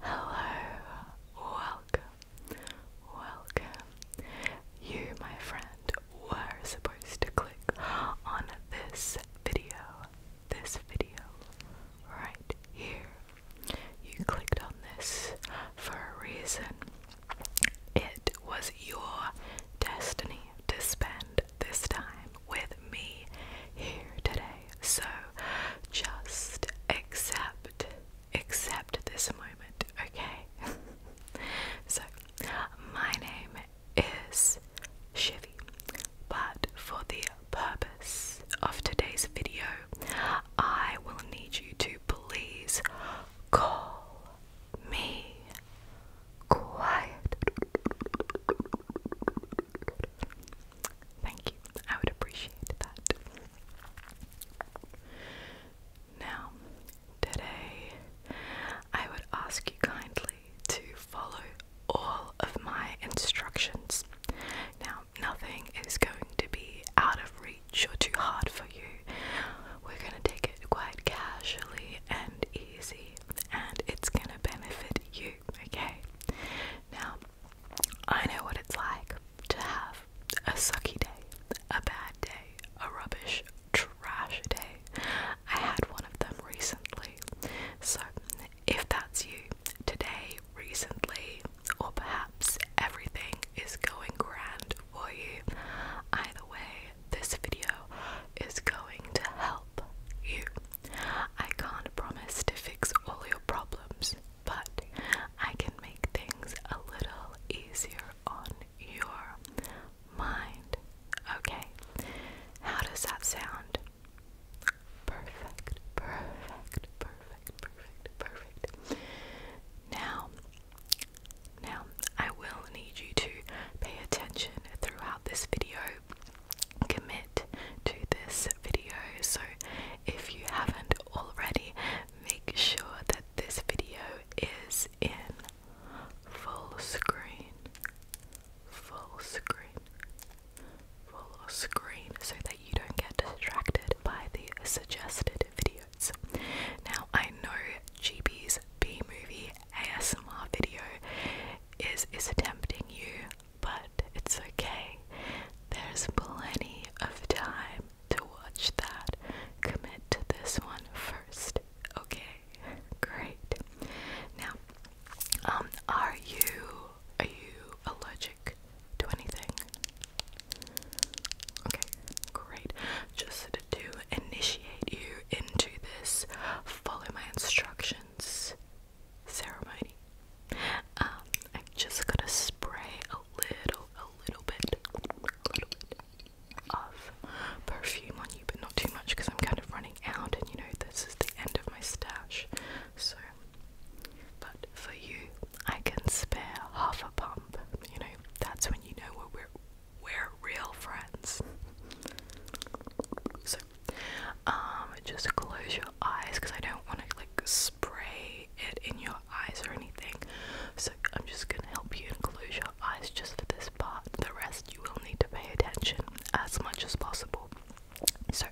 Hello, welcome, welcome. You, my friend, were supposed to click on this video this video right here. You clicked on this for a reason. It was your destiny to spend this time with me here today. So just accept, accept this moment, okay? so, my name is Chevy. But for the purpose of today's video, I will need you to please call me quiet. Thank you, I would appreciate that. Now, today I would ask you kindly to follow all of my instructions. Now, nothing is going to be out of reach or too hard for you. We're going to take it quite casually and easy, and it's going to benefit you, okay? Now, I know what it's like to have a sucky day, a bad day, a rubbish, trash day. I had one of them recently. So, if that's you today, recently, or perhaps everything is going grand for you, either way, this video is going to help you. I can't promise to fix all your problems, but I can make things a little easier on your mind. Okay? How does that sound? Perfect, perfect, perfect, perfect, perfect. Now, now I will need you to pay attention throughout this video. Commit to this video. So if you haven't already, make sure that this video is in full screen full screen, full screen, so that you don't get distracted by the suggested videos. Now, I know GB's B movie ASMR video is is tempting you, but it's okay. There's plenty of time to watch that. Commit to this one first. Okay, great. Now, um, are you are you allergic to anything? Okay, great. Just to initiate you into this follow my instructions ceremony, um, I'm just gonna spray a little, a little bit, a little bit of perfume on you, but not too much because I'm kind of running out, and you know, this is the end of my stash. So, but for you, I can spare half a pump. You know, that's when you know we're, we're real friends. So, um, just close your eyes because I don't want to like spray it in your eyes or anything. So I'm just gonna help you and close your eyes just for this part. The rest you will need to pay attention as much as possible. So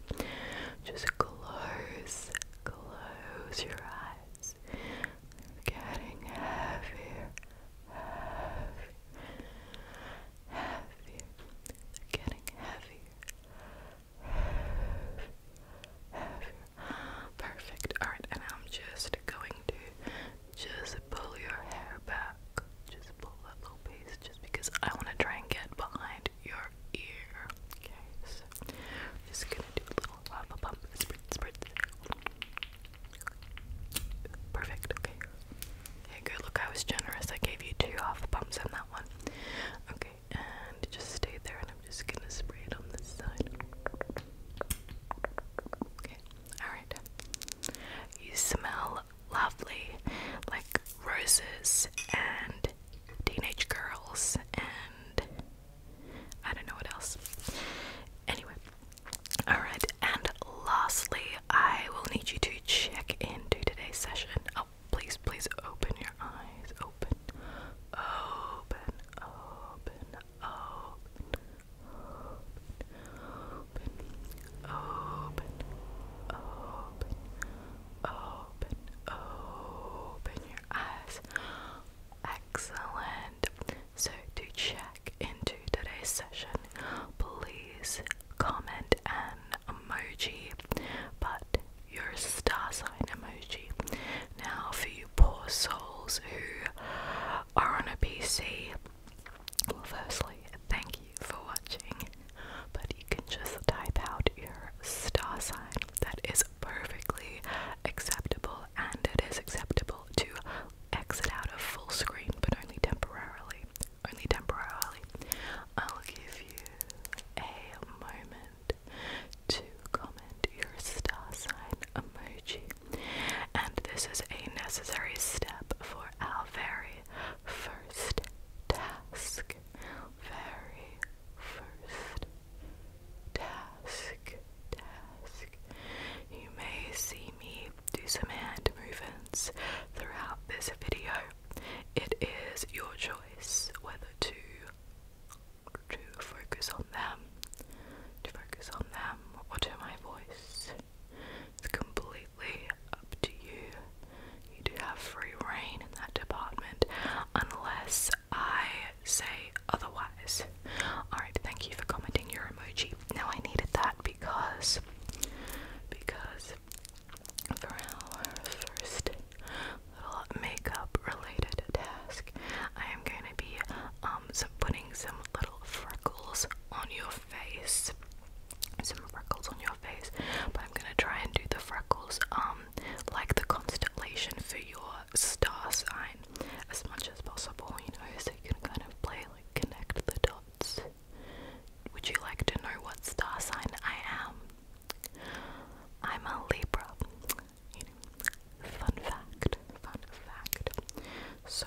just close, close your eyes. getting heavier, heavier, heavier. getting heavier, heavier, heavier. Perfect. All right, and I'm just going to just pull your hair back just pull that low base just because I want to try and get behind your ear. Okay, so just gonna do a little lava pump spritz spritz. Perfect, okay. Hey, good. Look, I was generous. I gave you two half pumps and that one. Okay, and just stay there, and I'm just gonna spray it on this side. Okay, alright. You smell lovely, like roses and teenage girls and I don't know what else. Anyway, alright, and lastly, I will need you to check into today's session. Oh, please, please open your eyes. Open, open, open, open, open, open, open, open your eyes. Excellent. So, to check into today's session, please comment an emoji, but your star sign emoji. Now, for you poor souls who are on a PC, well, firstly, thank thank you for watching. But you can just type out your star sign. That is perfectly acceptable, and it is acceptable to exit out of full screen, but only temporarily. Only temporarily. I'll give you a moment to comment your star sign emoji. And this is a necessary step for our first task. Very first task. Task. You may see me do some hand movements throughout this video. It is your choice whether to to focus on them, to focus on them, or to my voice. It's completely up to you. You do have free reign in that department unless I say otherwise. Alright, thank you for commenting your emoji. Now I needed that because because for our first little makeup related task, I am gonna be um putting some little freckles on your face some freckles on your face, but I'm gonna try and do the freckles um like the constellation for your star sign as much as possible, you know, so you can kind of play like connect the dots. Would you like to know what star sign I am? I'm a Libra. fun fact, fun fact. So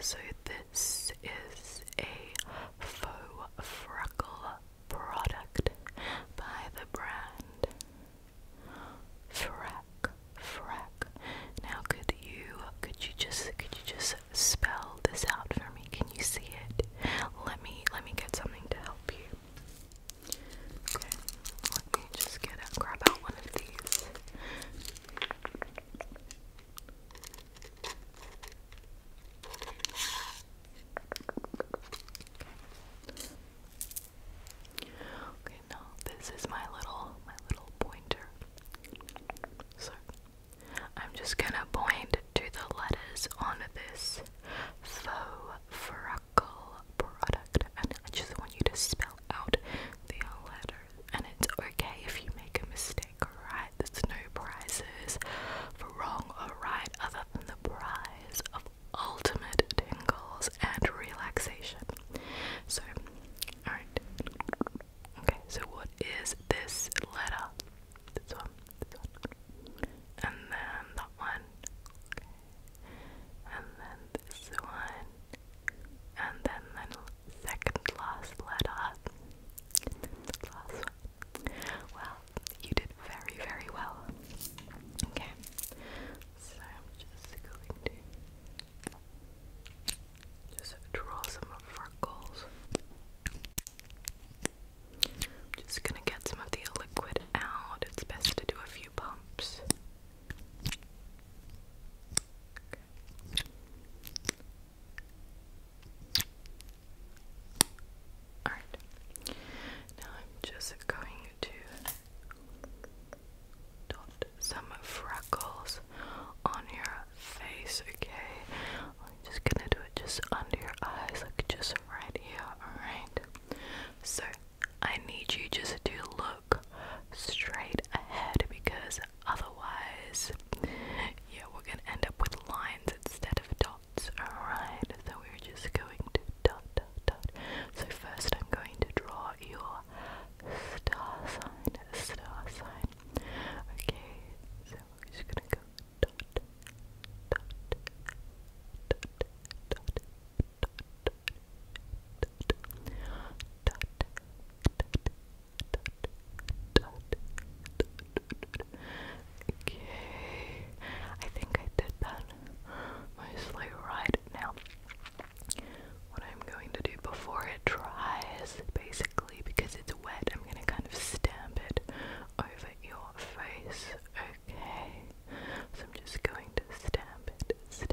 so this is a faux freckle product by the brand Frack Frack. Now could you could you just could you just spell this out for me? Can you see it? Let me let me get something to help you. Okay, let me just get grab out one of these. Okay, now this is my little my little pointer. So I'm just gonna point to the letters on this faux freckle product and I just want you to spell out the letter and it's okay if you make a mistake, alright? There's no prizes for wrong or right other than the prize of ultimate tingles and relaxation. So, alright. Okay, so what is this letter? This one, this one. And then that one. And then this one and then the second last letter. The last one. Well, you did very, very well. Okay, so I'm just going to just draw some freckles. just gonna get some of the liquid out. It's best to do a few pumps. Alright. Now I'm just going to dot some freckles on your face, okay? I'm just gonna do it just under your eyes, like just right here, alright? So I need you just to look straight ahead because otherwise, yeah, we're gonna end up with lines instead of dots, alright? So we're just going to dot, dot, dot. So first I'm going to draw your star sign, star sign. Okay, so we're just gonna go dot, dot, dot, dot, dot, dot, dot, dot, dot, dot, Okay, I think I did that mostly right now. What I'm going to do before it dries, basically, because it's wet, I'm going to kind of stamp it over your face, okay? So I'm just going to stamp it, stamp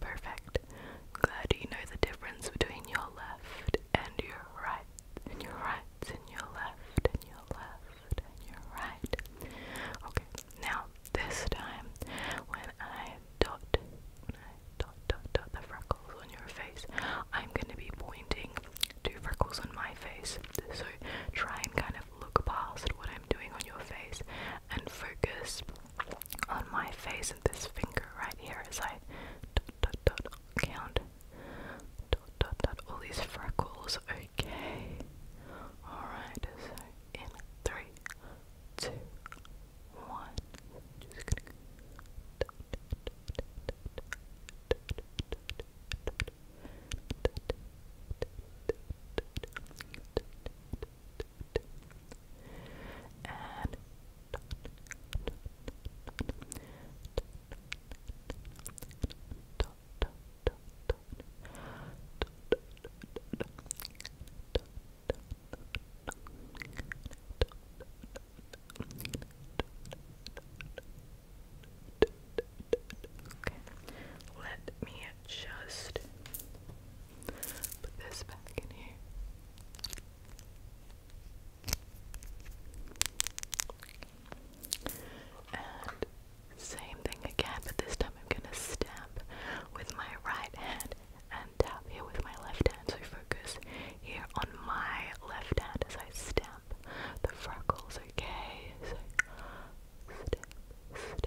Perfect. Glad you know the difference between your left and your right, and your right, and your left, and your left, and your right. Okay, now this time when I dot, I dot, dot, dot the freckles on your face, I'm going to be pointing to freckles on my face. So try and kind of look past what I'm doing on your face and focus on my face and this finger right here as I dot, dot, dot, count dot, dot, dot, all these freckles. Okay. Alright, so in three, two, one and Okay, let me just Put this back in here. And same thing again, but this time I'm gonna stamp with my right hand and tap here with my left hand. So focus here on my left hand as I stamp the freckles, okay? stamp, stamp,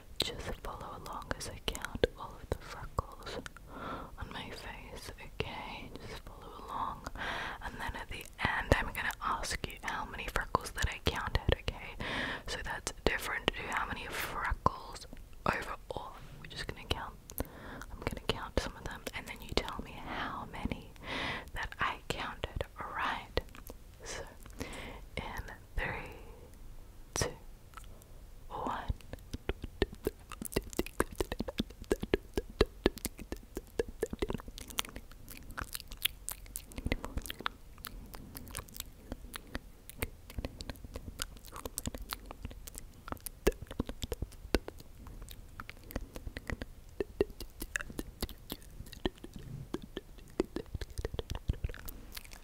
Just follow along as I count all of the freckles on my face, okay? Just follow along. And then at the end, I'm gonna ask you how many freckles that I counted, okay? So that's different to how many freckles overall. We're just gonna count. I'm gonna count some of them, and then you tell me how many that I counted, alright? So, in three, two, one.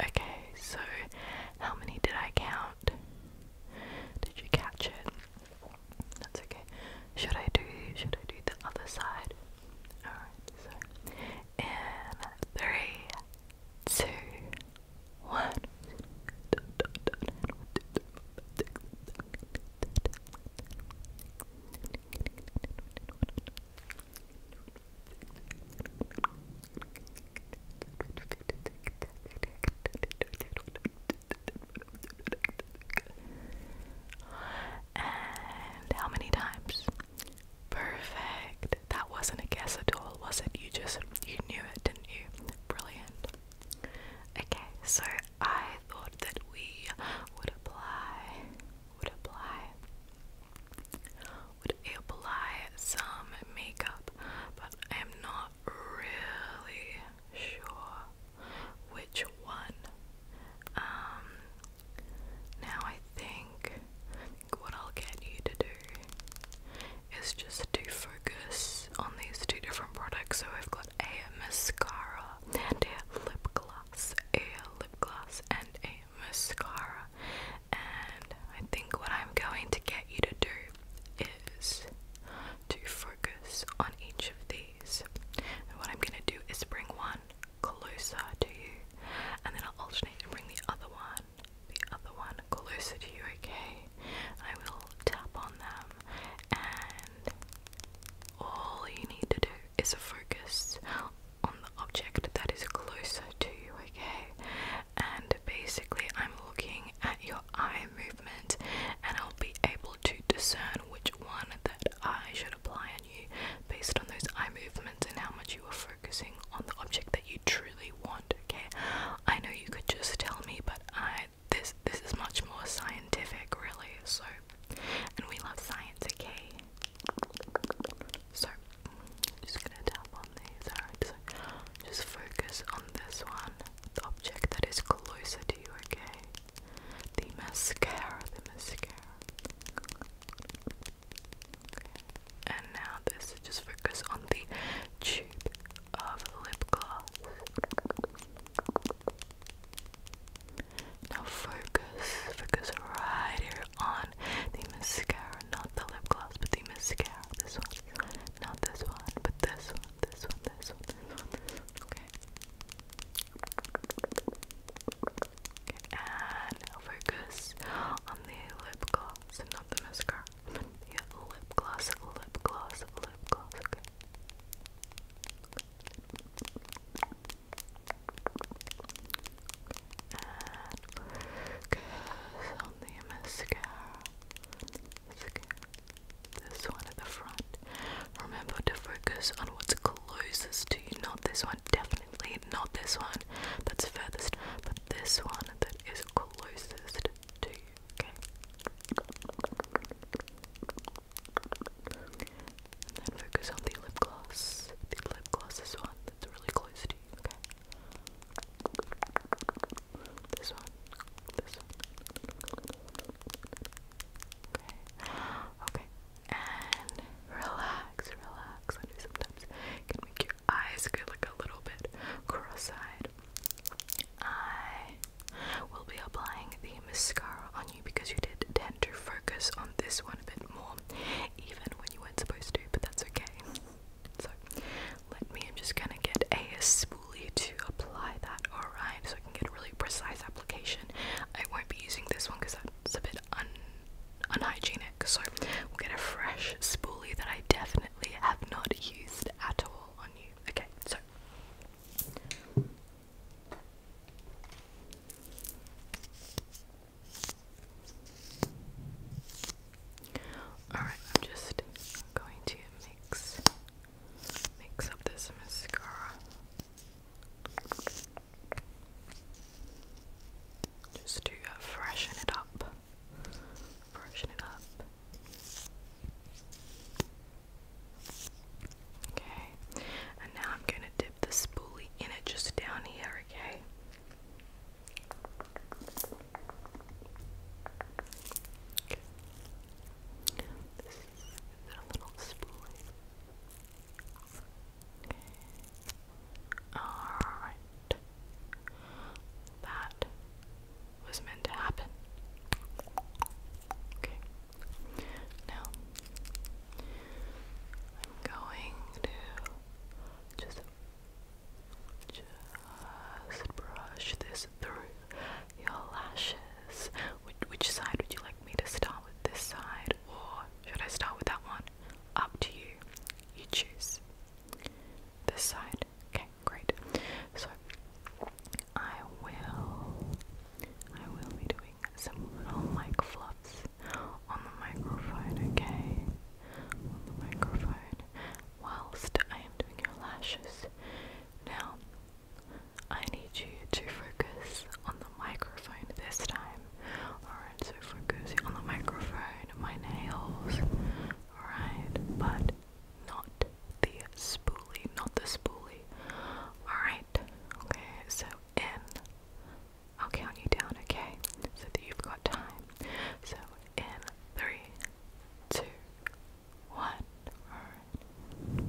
Okay, so how many did I count? Did you catch it? That's okay. Should I do should I do the other side? Alright, so in three, two, one and how many times? Perfect. That wasn't a guess at all, was it? You just you knew it, didn't you? Brilliant. Okay, so I thought that we would apply would apply would apply some makeup, but I'm not really sure which one. Um now I think, I think what I'll get you to do is just to focus on these two different products. So we have got a mascara and a lip gloss, a lip gloss and a mascara. And I think what I'm going to get you to do is to focus on each of these. And what I'm going to do is bring one closer to you, and then I'll alternate and bring the other one, the other one closer to you, okay? I will tap on them, and all you need to do is a focus on the object that is closer to you, okay? And basically, I'm looking at your eye movement and I'll be able to discern which one that I should apply on you based on those eye movements and how much you are focusing on the object that you truly want, okay? I know you could just tell me, but I this this is much more scientific really so and we love science okay so, just gonna tap on these, just focus on this one, the object that is closer to you, okay? The mascara, the mascara. And now this, just focus on the tube of lip gloss. Now focus, focus right here on the mascara, not the lip gloss, but the mascara. This one, not this one, but this one, this one, this one, this one, this one. Okay. okay. And now focus on the lip gloss and not the mascara. Yeah, lip gloss, lip gloss, lip gloss. Okay. Okay. And kiss the mascara. mascara. This one at the front. Remember to focus on what's closest to you, not this one. Definitely not this one that's furthest, but this one that is closest to you. Okay. And then focus on the lip gloss. The lip gloss is one that's really close to you, okay? This one. This one. Okay. Okay. And relax, relax. I know sometimes it can make your eyes get like a little bit cross-eyed. I will be applying the mascara on you because you did tend to focus on this one a bit more, even when you weren't supposed to, but that's okay. So, let me, I'm just gonna get a spoolie to apply that, alright, so I can get a really precise application. I won't be using this one because that's a bit un unhygienic, so we'll get a fresh spoolie that I definitely have not used at all on you. Okay, so. Alright, I'm just going to mix mix up this mascara. Just to uh, freshen it up. Freshen it up. Okay, and now I'm going to dip dip the spoolie in it just down here, okay? This is a little spoolie. Alright. That was meant to happen. Okay. Now I'm going to just just brush this through your lashes. Which, which side would you like me to start with? This side, or should I start with that one? Up to you. You choose. This side. Okay, great. So I will I will be doing some little mic fluffs on the microphone, okay? On the microphone whilst I am doing your lashes. Now, I need you to focus on the microphone this time. Alright, so focus on the microphone, my nails, alright, but not the spoolie, not the spoolie. Alright, okay, so in I'll count you down, okay? So that you've got time. So in three, two, one. Alright.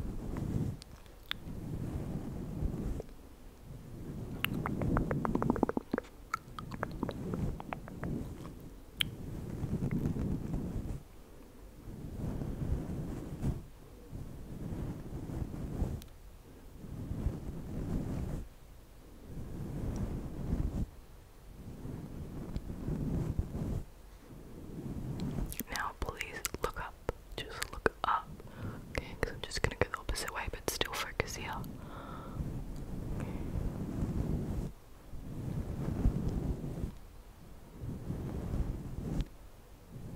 Now, please look up. Just look up. Okay, because I'm just going to go the opposite way, but still focus here. Okay. Okay, I'm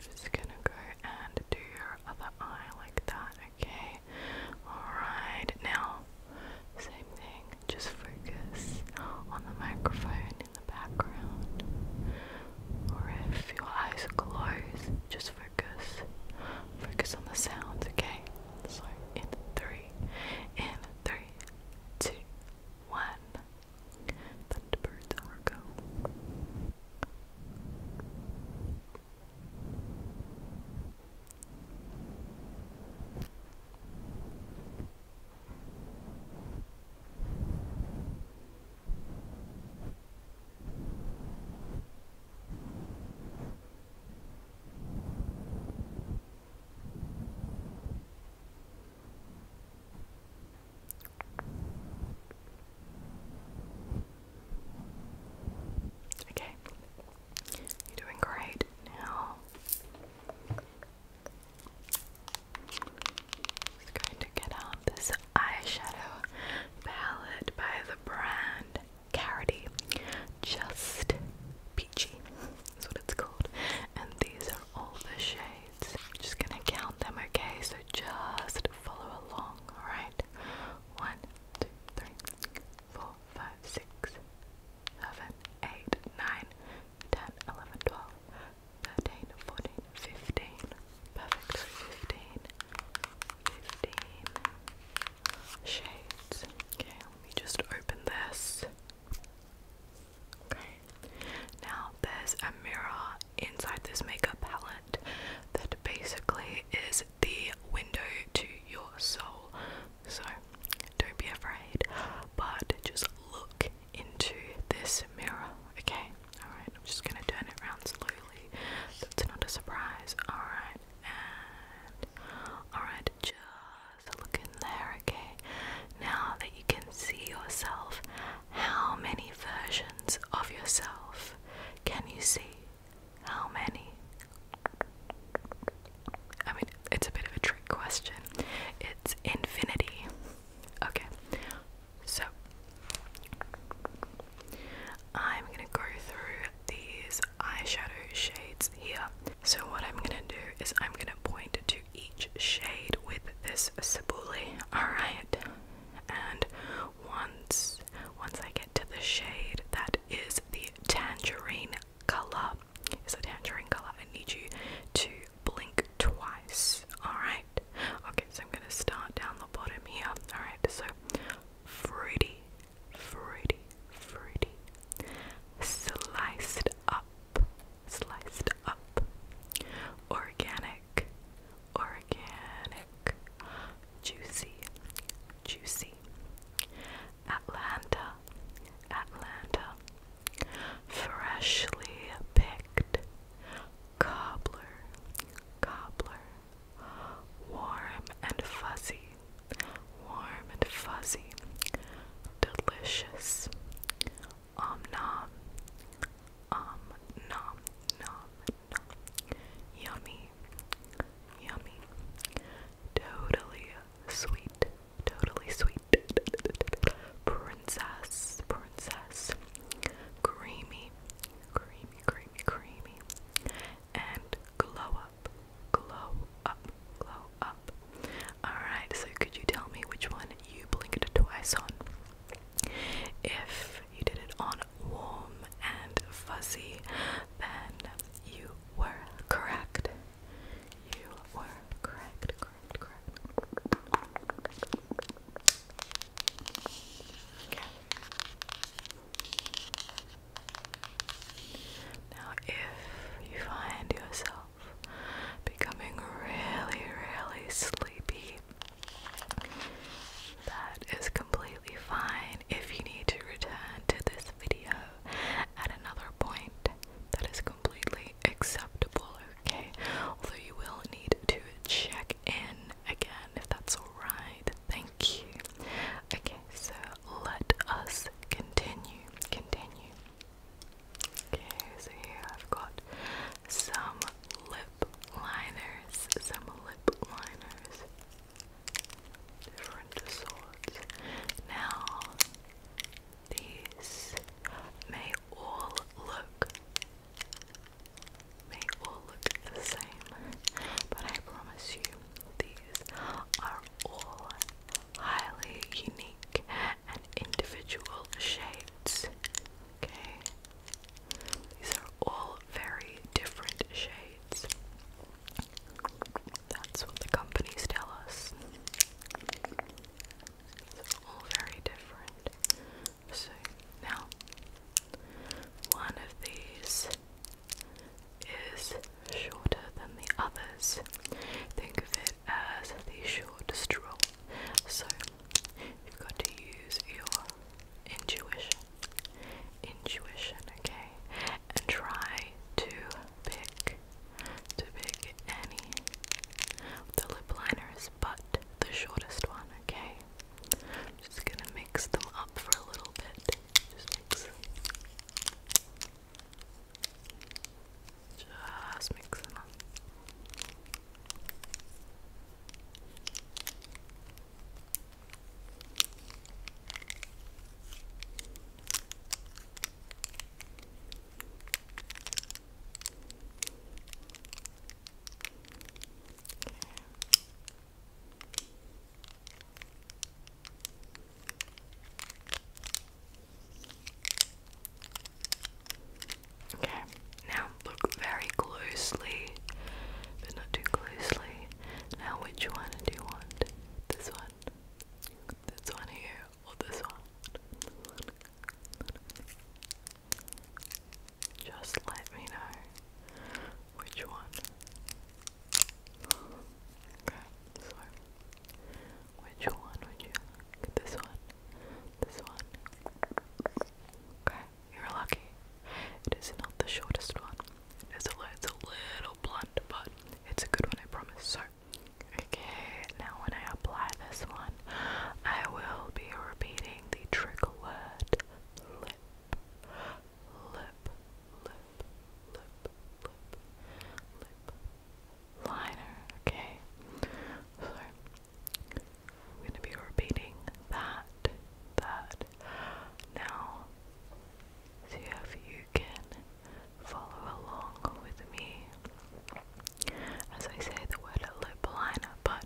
just gonna go and do your other eye like that, okay? Alright, now, same thing, just focus on the microphone in the background or if your eyes are just focus. Focus on the sounds, okay? So in three, in three, two, one. Thunderbirds are go. Okay, you're doing great now. Just going to get out this eyeshadow palette by the brand Carity Just Peachy. That's what it's called. And these are all the shades. just gonna count them, okay? So just follow along, alright? One, two, three, four, five, six, seven, eight, nine, ten, eleven, twelve. 13, 14, 15. Perfect for 15. 15 shades. Okay, let me just open this. Okay, now there's a mirror inside this makeup palette that basically is the window to your soul. So don't be afraid, but just look into this mirror, okay? Alright, I'm just gonna turn it around slowly. That's not a surprise. Alright, and alright, just look in there, okay? Now that you can see yourself, how many versions of yourself can you see? How many? I mean, it's a bit of a trick question. It's infinity. Okay, so, I'm gonna go through these eyeshadow shades here. So, what I'm gonna do is I'm gonna point to each shade with this Cibuli, alright? And once once I get to the shade that is the tangerine color, is a tangerine color, I need you to blink twice, alright? Okay, so I'm gonna start down the bottom here. Alright, so fruity, fruity, fruity, sliced up, sliced up, organic, organic, juicy, juicy, Atlanta, Atlanta, freshly picked. Cobbler, cobbler, warm and fuzzy, warm and fuzzy, delicious. Om nom, om nom nom nom, yummy, yummy, totally sweet, totally sweet. Princess, princess, creamy, creamy, creamy, creamy, and glow up, glow up, glow up. Alright, so could you tell me which one you blinked twice on? If you did it on warm and fuzzy, then you were correct. You were correct, correct, correct. Now, if you find yourself becoming really, really sleepy, that is completely fine. If you need to return to this video at another point, that is completely acceptable, okay. Although you will need to check in again if that's alright. Thank you. Okay, so let us continue. Continue. Okay, so here I've got some lip liners. Some lip liners. Different sorts. Now, these may all look they all look the same, but I promise you, these are all highly unique and individual shades. Okay? These are all very different shades. That's what the companies tell us. These all very different. So now, one of these is shorter than the others. Think of it as the short straw. So you've got to use your intuition, intuition, okay, and try to pick, to pick any. The lip liners, but the shortest one, okay? I'm just gonna mix them up for a little bit. Just mix them. Just mix them up. Okay, now look very closely, but not too closely. Now, which one do you want? This one? This one here? Or this one? Just let me know which one. Okay, so which one would This one? This one? Okay, you're lucky. It is not the shortest one. it's a little blunt, but it's a good one, I promise. So, okay, now when I apply this one, I will be repeating saying the trigger word lip, lip, lip, lip, lip, lip liner, okay? So, I'm going to be repeating that, that. Now, see if you can follow along with me as I say the word lip liner, but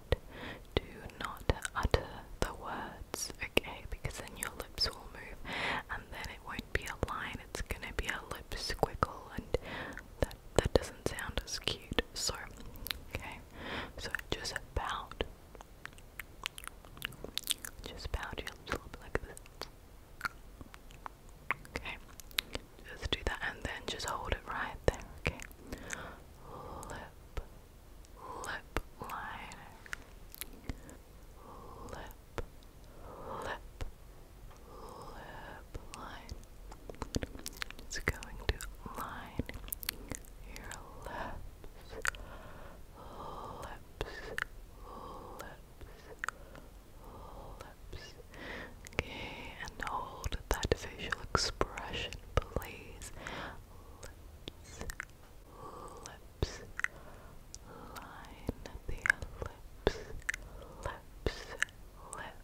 do not utter the words, okay? Because then your lips will move and then it won't be a line, it's gonna be a lip squiggle, and that, that doesn't sound as cute. Sorry. okay, so just about, just about your lips like this. Okay, let's do that and then just hold it right there, okay? Lip, lip liner. Lip, lip, lip line. It's going to line your lips, lips, lips, lips. Okay, and hold that facial expression, please. Lips, lips, line the lips, lips, lips, lip, lip,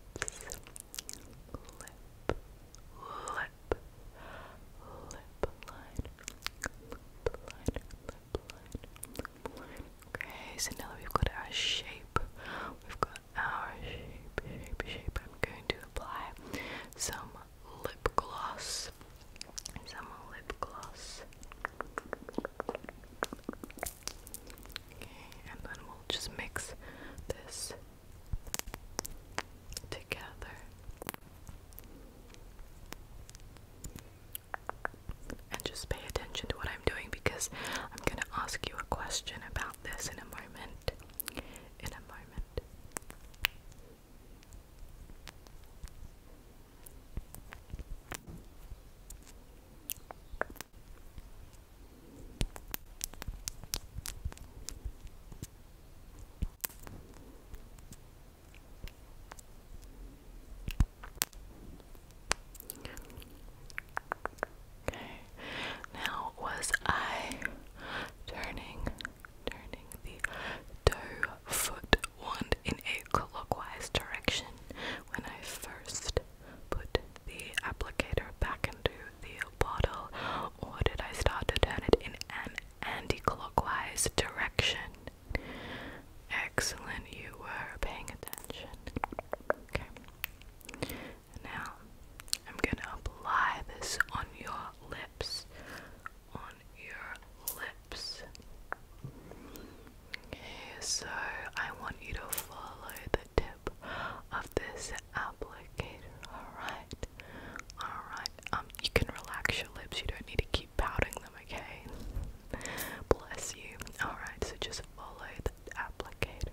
lip lip line, lip line, lip line. Okay, so now we've got our shape, we've got our shape, shape, shape, I'm going to apply some lip gloss. Some lip gloss. Okay, and then we'll just mix this together. And just pay attention to what I'm doing because I'm going to ask you a question about this in a moment. In a moment. Now was I turning turning the toe foot wand in a clockwise direction when I first put the applicator back into the bottle or did I start to turn it in an anti-clockwise direction? Excellent, you were paying attention. Okay. Now, I'm going to apply this on your lips. On your lips. Okay, so I want you to follow the tip of this applicator. Alright. Alright. Um, you can relax your lips. You don't need to keep pouting them, okay? Bless you. Alright, so just follow the applicator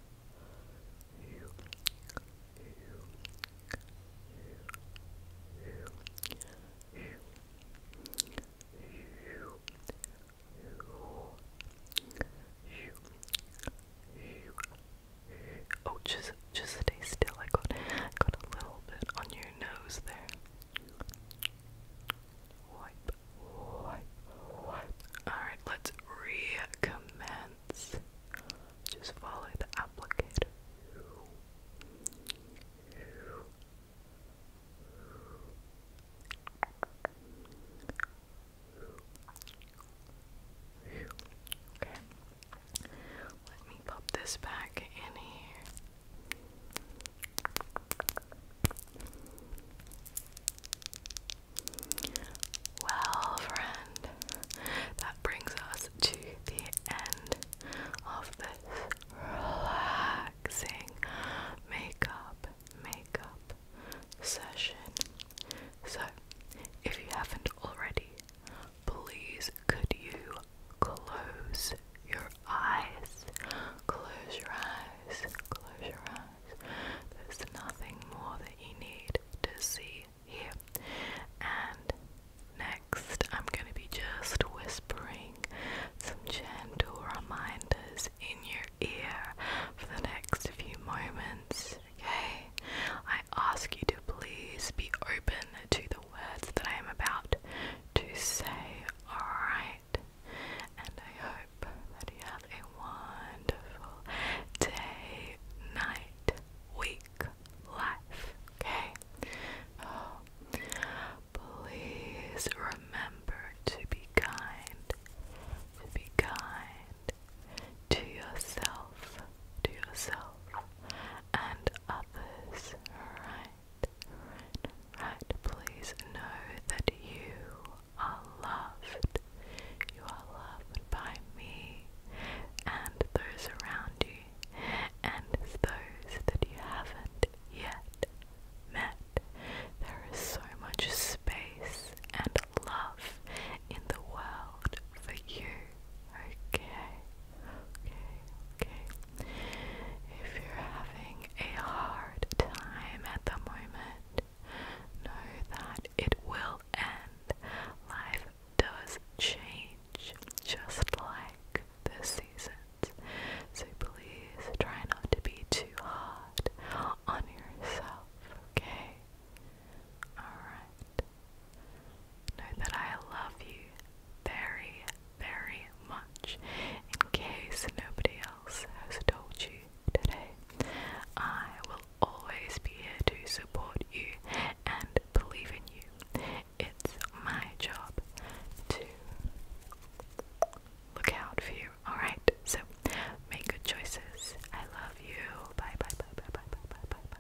Oh, just just stay still. I got I got a little bit on your nose there. Alright, let's recommend just follow the applicator. Okay. Let me pop this back in here. Well, friend, that brings us to the end of this relaxing makeup makeup session. So, if you haven't already, please could you close your eyes? Close your eyes. Close your eyes. There's nothing more that you need to see here. And next, I'm going to be just whispering some gentle reminders in your ear for the next few moments, okay? I ask you to please be open to the words that I am about to say, alright? And I hope that you have a wonderful day, night weak life. Okay? Oh, please remember to be kind, to be kind to yourself, to yourself and others. Right, right, Please know that you are loved. You are loved by me and those around you, and those that you haven't yet met. There is so much space and love in the world for you. Okay, okay, okay. If you're having a hard time at the moment, Know that it will end. Life does change, just like the seasons. So please try not to be too hard on yourself, okay? Alright. Know that I love you very, very much. In case nobody else has told you today, I will always be here to support you and believe in you. It's my job to look out for you. Alright, so make good choices. I love you. Bye bye bye bye bye bye bye bye bye.